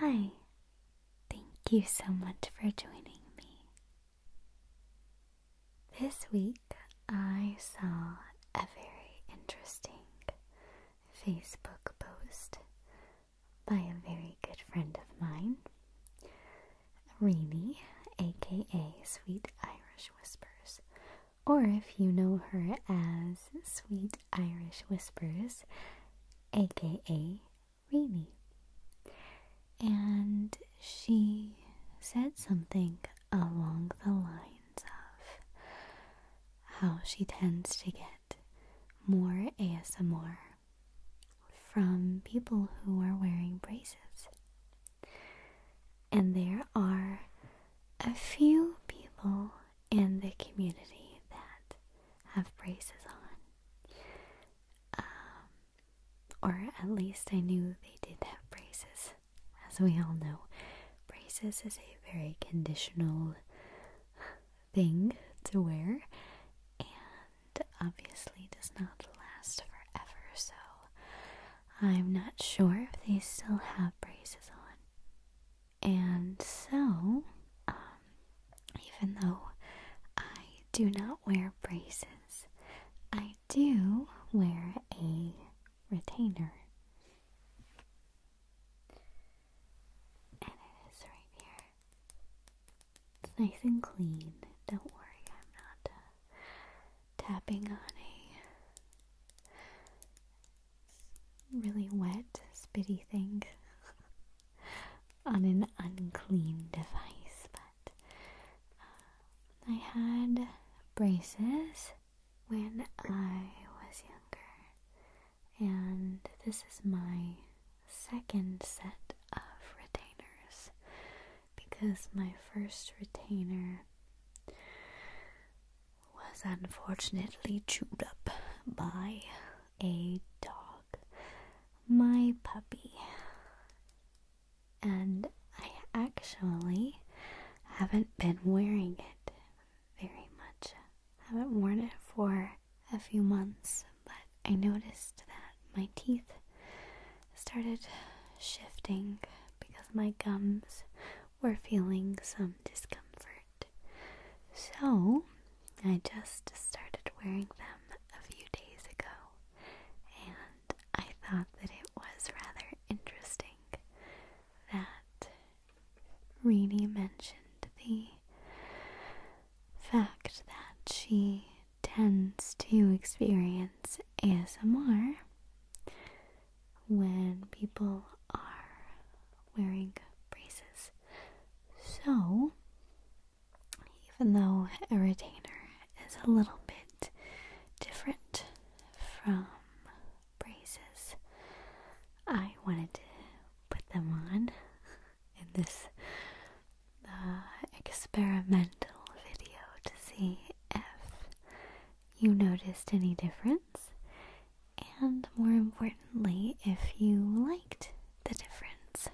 Hi, thank you so much for joining me. This week I saw a very interesting Facebook post by a very good friend of mine, Renee, aka Sweet Irish Whispers. Or if you know her as Sweet Irish Whispers, aka Renee. And she said something along the lines of how she tends to get more ASMR from people who are wearing braces. And there are a few people in the community that have braces on. Um, or at least I knew they did have braces. As we all know, braces is a very conditional thing to wear and obviously does not last forever, so I'm not sure if they still have braces on. And so, um, even though I do not wear braces, I do wear a retainer. And it is right here. It's nice and clean. Don't worry, I'm not uh, tapping on a really wet, spitty thing on an unclean device. But uh, I had braces when I was younger and this is my second set of retainers because my first retainer was unfortunately chewed up by a dog, my puppy. And I actually haven't been wearing it very much I haven't worn it for a few months, but I noticed that my teeth started shifting because my gums were feeling some discomfort. So I just started wearing them a few days ago, and I thought that it was rather interesting that Reenie mentioned the fact that she tends to experience ASMR when people are wearing braces. So, even though a retainer is a little bit different from braces. I wanted to put them on in this uh, experimental video to see if you noticed any difference and more importantly if you liked the difference.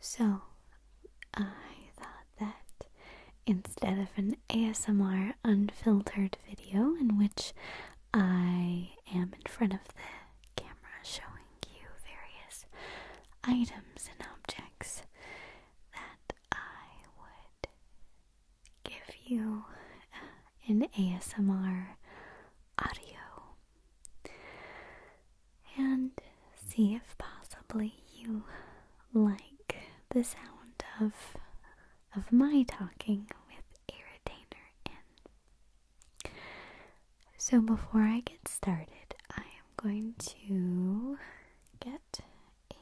So I thought that instead of an ASMR unfiltered video in which I am in front of the camera showing you various items and objects that I would give you uh, an ASMR audio and see if possibly you like the sound of of my talking with a retainer in. So before I get started, I am going to get a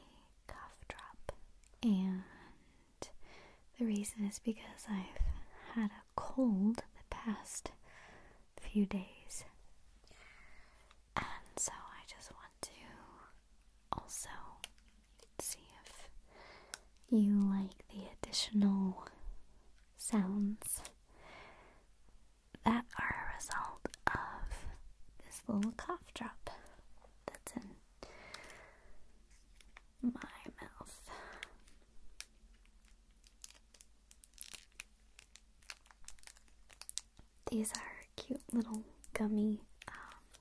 cough drop. And the reason is because I've had a cold the past few days. And so I just want to also see if you like the additional sounds that are a result of this little cough drop that's in my mouth. These are cute little gummy um,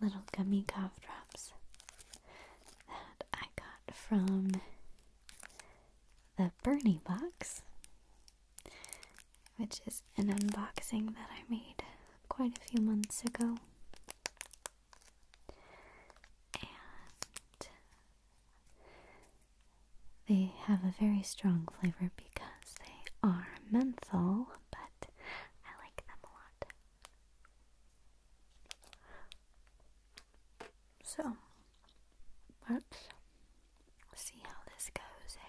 little gummy cough drops that I got from the Bernie box, which is an unboxing that I made quite a few months ago. And they have a very strong flavor because they are menthol but I like them a lot. So, let's see how this goes, eh?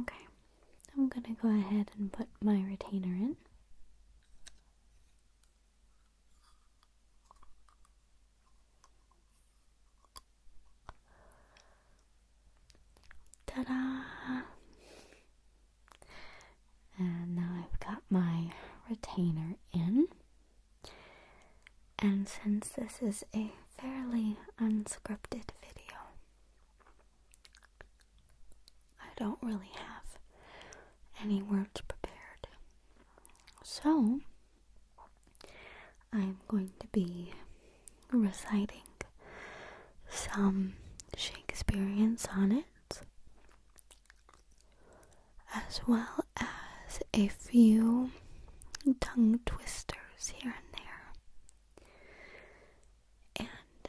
Okay, I'm gonna go ahead and put my retainer in. Ta-da! And now I've got my retainer in. And since this is a fairly unscripted video, I don't really have any words prepared. So, I'm going to be reciting some Shakespearean sonnets as well as a few tongue twisters here and there. And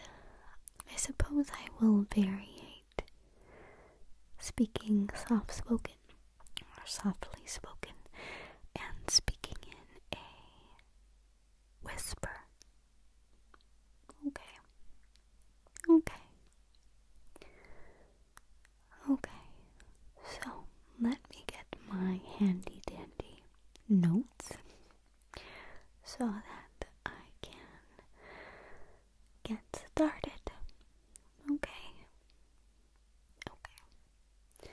I suppose I will vary speaking soft spoken or softly spoken, and speaking in a whisper. Okay. Okay. Okay. So let me get my handy dandy notes so that I can get started. Okay. Okay.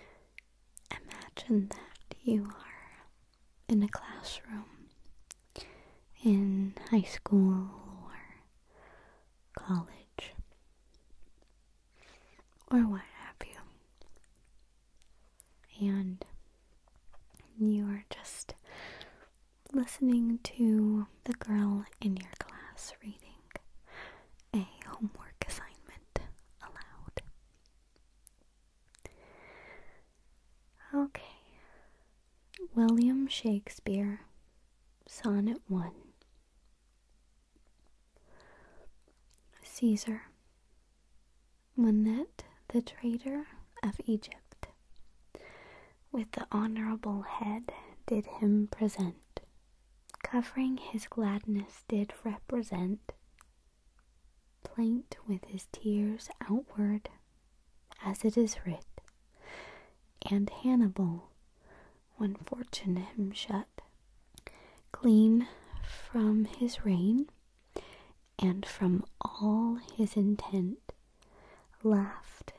Imagine that you are in a classroom in high school or college or what have you. And you are just listening to the girl in your class reading a homework assignment aloud. Okay. William Shakespeare, Sonnet 1. Caesar, Monette the traitor of Egypt, with the honourable head did him present, covering his gladness did represent, plaint with his tears outward, as it is writ, and Hannibal, when fortune him shut, clean from his reign, and from all his intent, laughed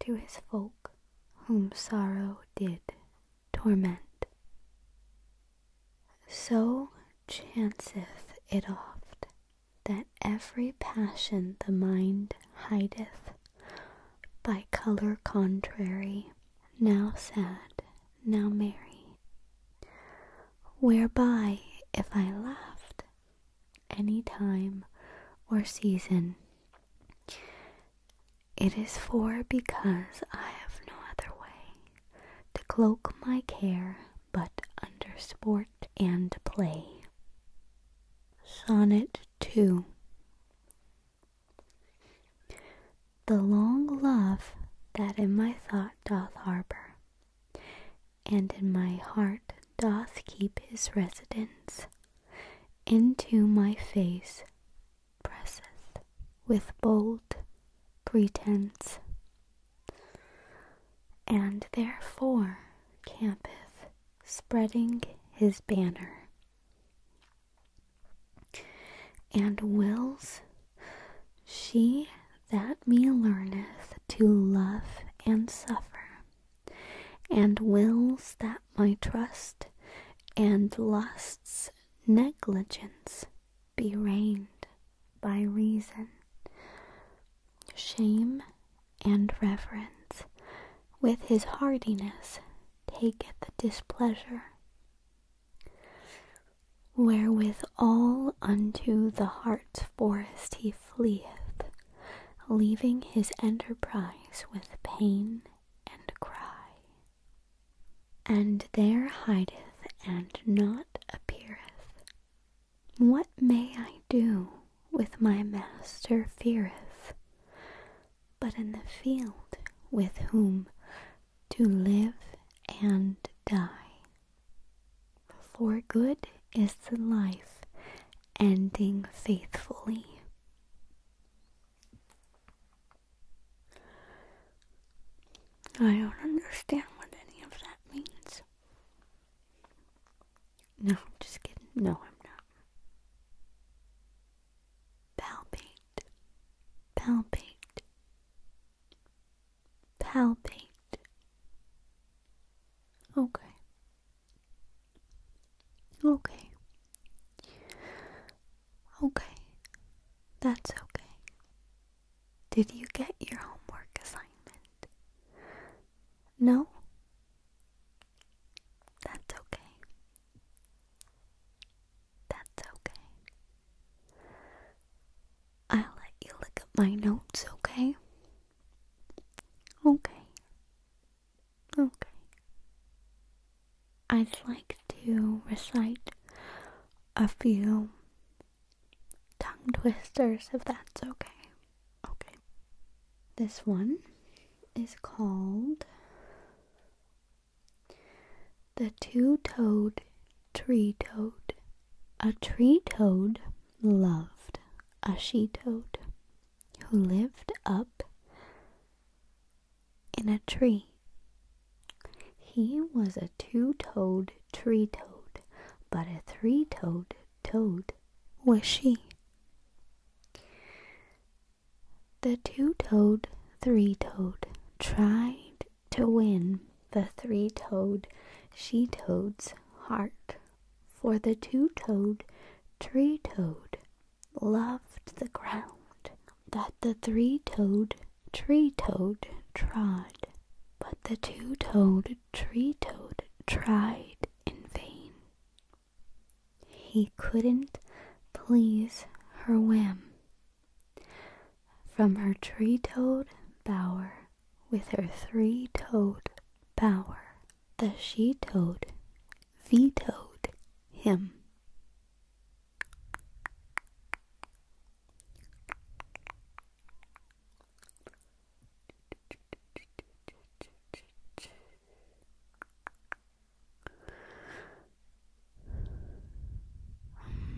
to his folk whom sorrow did torment. So chanceth it oft that every passion the mind hideth by color contrary, now sad, now merry, whereby if I laughed any time or season it is for because I have no other way to cloak my care but under sport and play. Sonnet 2 The long love that in my thought doth harbor, and in my heart doth keep his residence into my face presseth with bold pretense, and therefore campeth spreading his banner, and wills she that me learneth to love and suffer and wills that my trust and lusts negligence be reined by reason, shame and reverence, with his hardiness taketh displeasure. wherewithal unto the heart's forest he fleeth, leaving his enterprise with pain and cry. And there hideth and not appeareth. What may I do with my master feareth, but in the field with whom to live and die. For good is the life ending faithfully. I don't understand what any of that means. No, I'm just kidding. No, I'm not. Palpate. Palpate. Palpate. Okay. Okay. Okay. That's okay. Did you get your homework assignment? No? That's okay. That's okay. I'll let you look at my notes, okay? Okay. Okay. I'd like to recite a few tongue twisters if that's okay. Okay. This one is called The Two Toed Tree Toad. A tree toad loved a she toad who lived up in a tree. He was a two toed tree toad, but a three toed toad was she. The two toed, three toed tried to win the three toed she toad's heart for the two-toed tree-toad loved the ground that the three-toed tree-toad trod, but the two-toed tree-toad tried in vain. He couldn't please her whim. From her tree toad bower with her three-toed power. The she toad vetoed him.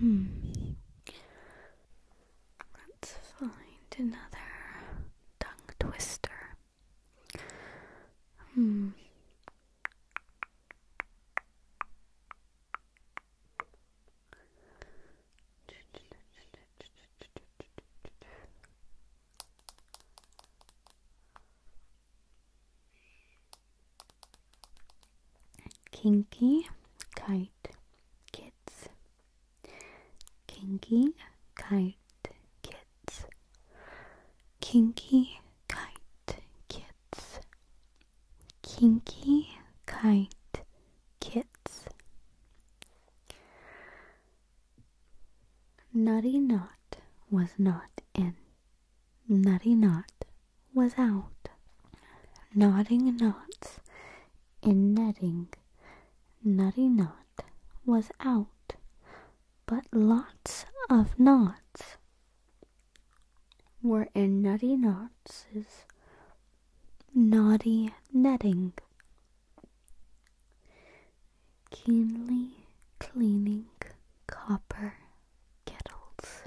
Hmm. Let's find another tongue twister. Hmm. Kinky kite kids. Kinky kite kids. Kinky Kite kits. Kinky Kite kits. Nutty Knot was not in. Nutty Knot was out. Knotting knots in netting. Nutty Knot was out but lots of knots were in Nutty knots's naughty netting, keenly cleaning copper kettles,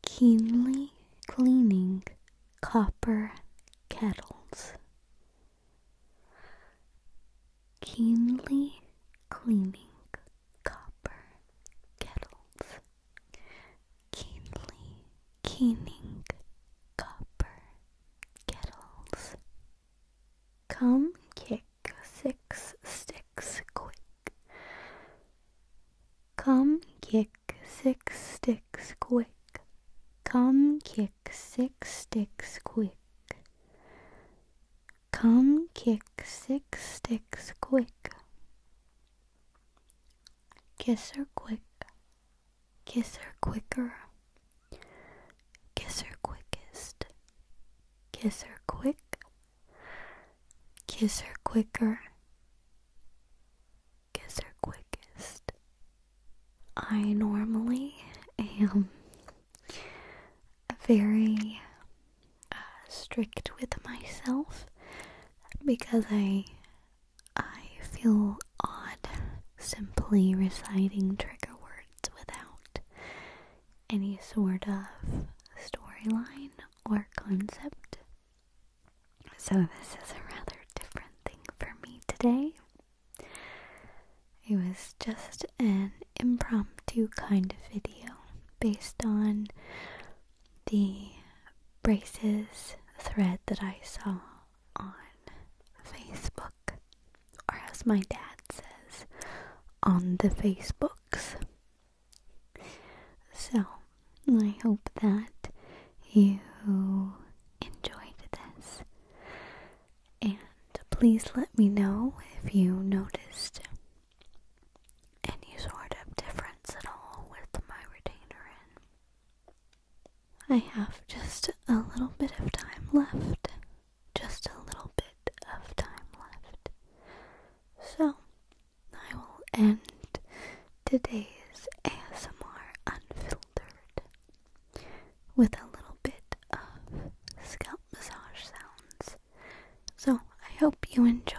keenly cleaning copper kettles Keenly cleaning copper kettles. Keenly keening copper kettles. Come kick six sticks quick. Come kick six sticks quick. Come kick six sticks quick. Come kick six sticks quick. Kiss her quick. Kiss her quicker. Kiss her quickest. Kiss her quick. Kiss her quicker. Kiss her quickest. I normally am very uh, strict with myself because I I feel odd simply reciting trigger words without any sort of storyline or concept. So this is a rather different thing for me today. It was just an impromptu kind of video based on the braces thread that I saw on Facebook, or as my dad says, on the Facebooks. So, I hope that you enjoyed this. And please let me know if you noticed any sort of difference at all with my retainer I have just a little bit of time left. Just a little bit of time left. So, I will end today's ASMR unfiltered with a little bit of scalp massage sounds. So I hope you enjoy.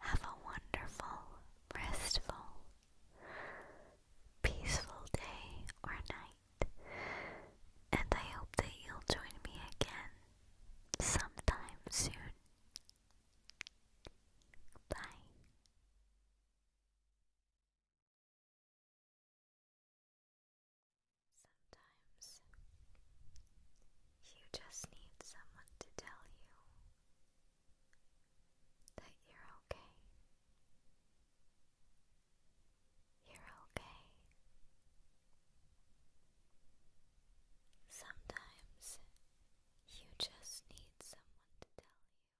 Have a wonderful, restful, peaceful day or night, and I hope that you'll join me again sometime soon. Bye. Sometimes you just need someone to tell you that you're okay. You're okay. Sometimes you just need someone to tell you.